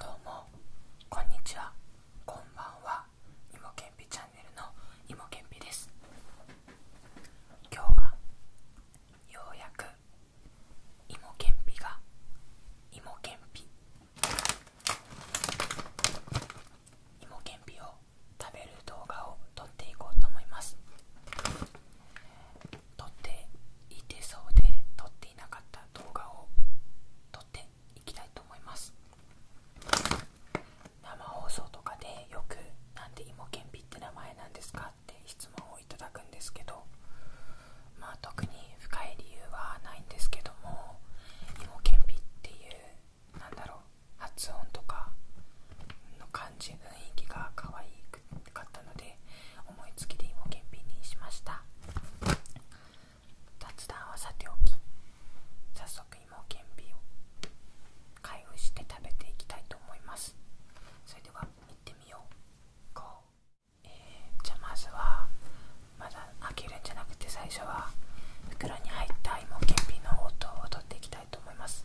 どうもこんにちはこんばんはいもけんぴチャンネルのいもけんぴです今日はようやくいもけんぴがいもけんぴいもけんぴを食べる動画を撮っていこうと思います撮っていてそうで撮っていなかった動画を撮っていきたいと思います生放送とかでよく「なんで芋けんぴって名前なんですか?」って質問をいただくんですけどまあ特に深い理由はないんですけども芋けんぴっていうなんだろう発音とかの感じ雰囲気が可愛かったので思いつきで芋けんぴにしました雑談はさておき早速芋けんぴを開封して食べていきたいと思いますそれでは行ってみようこう、えじゃあまずはまだ開けるんじゃなくて最初は袋に入った芋けんぴの音を取っていきたいたいと思います。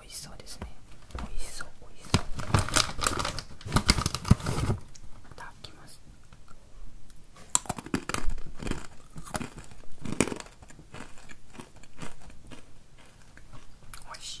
美味しそうですね美味しそう美味しそういただきますおいしい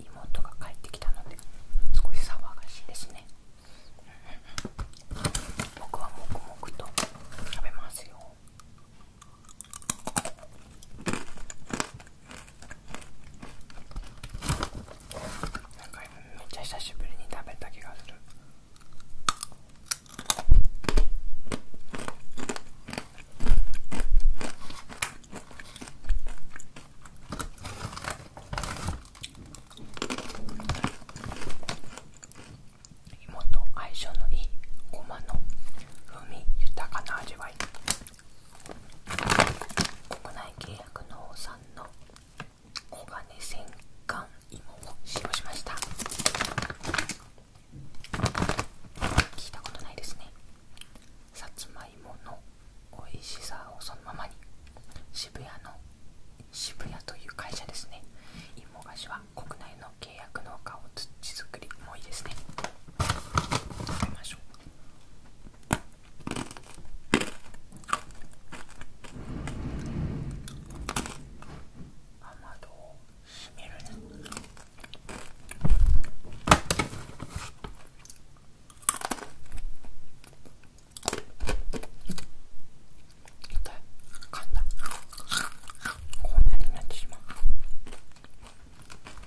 妹が帰ってきたので少し騒がしいですね僕はもくもくと食べますよなんかめっちゃ久しぶりに食べた気がする芋と相性のいいごまの風味豊かな味わい国内契約農産の黄金戦艦芋を使用しました聞いたことないですねさつまいもの美味しさをそのままに渋谷の渋谷という会社ですね芋菓子は国内の契約農家を土作りもいいですね食べましょう雨戸を閉めるね痛い噛んだこんなになってしまう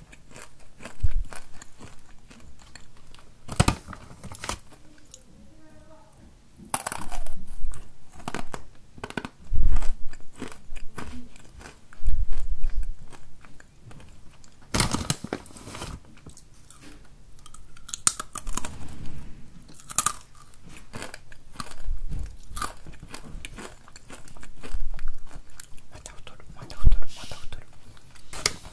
また太るまた太るまた太る。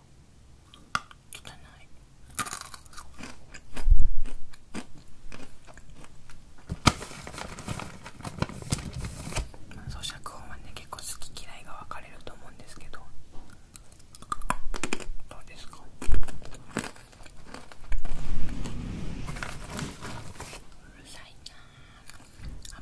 汚い咀嚼音はね結構好き嫌いが分かれると思うんですけどどうですかうるさいなあ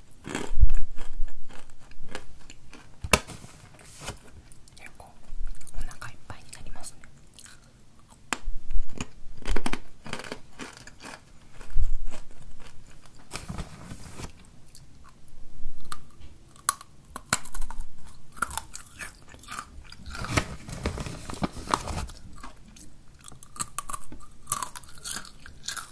結構お腹いっぱいになりますね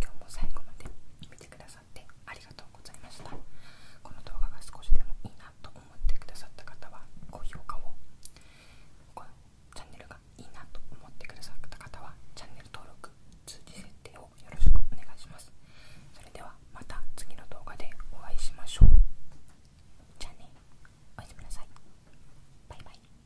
今日も最後まで見てくださってありがとうございましたこの動画が少しでもいいなと思ってくださった方は高評価をこのチャンネルがいいなと思ってくださった方はチャンネル登録通知設定をよろしくお願いしますそれではまた次の動画でお会いしましょうじゃあねおやすみなさいバイバイ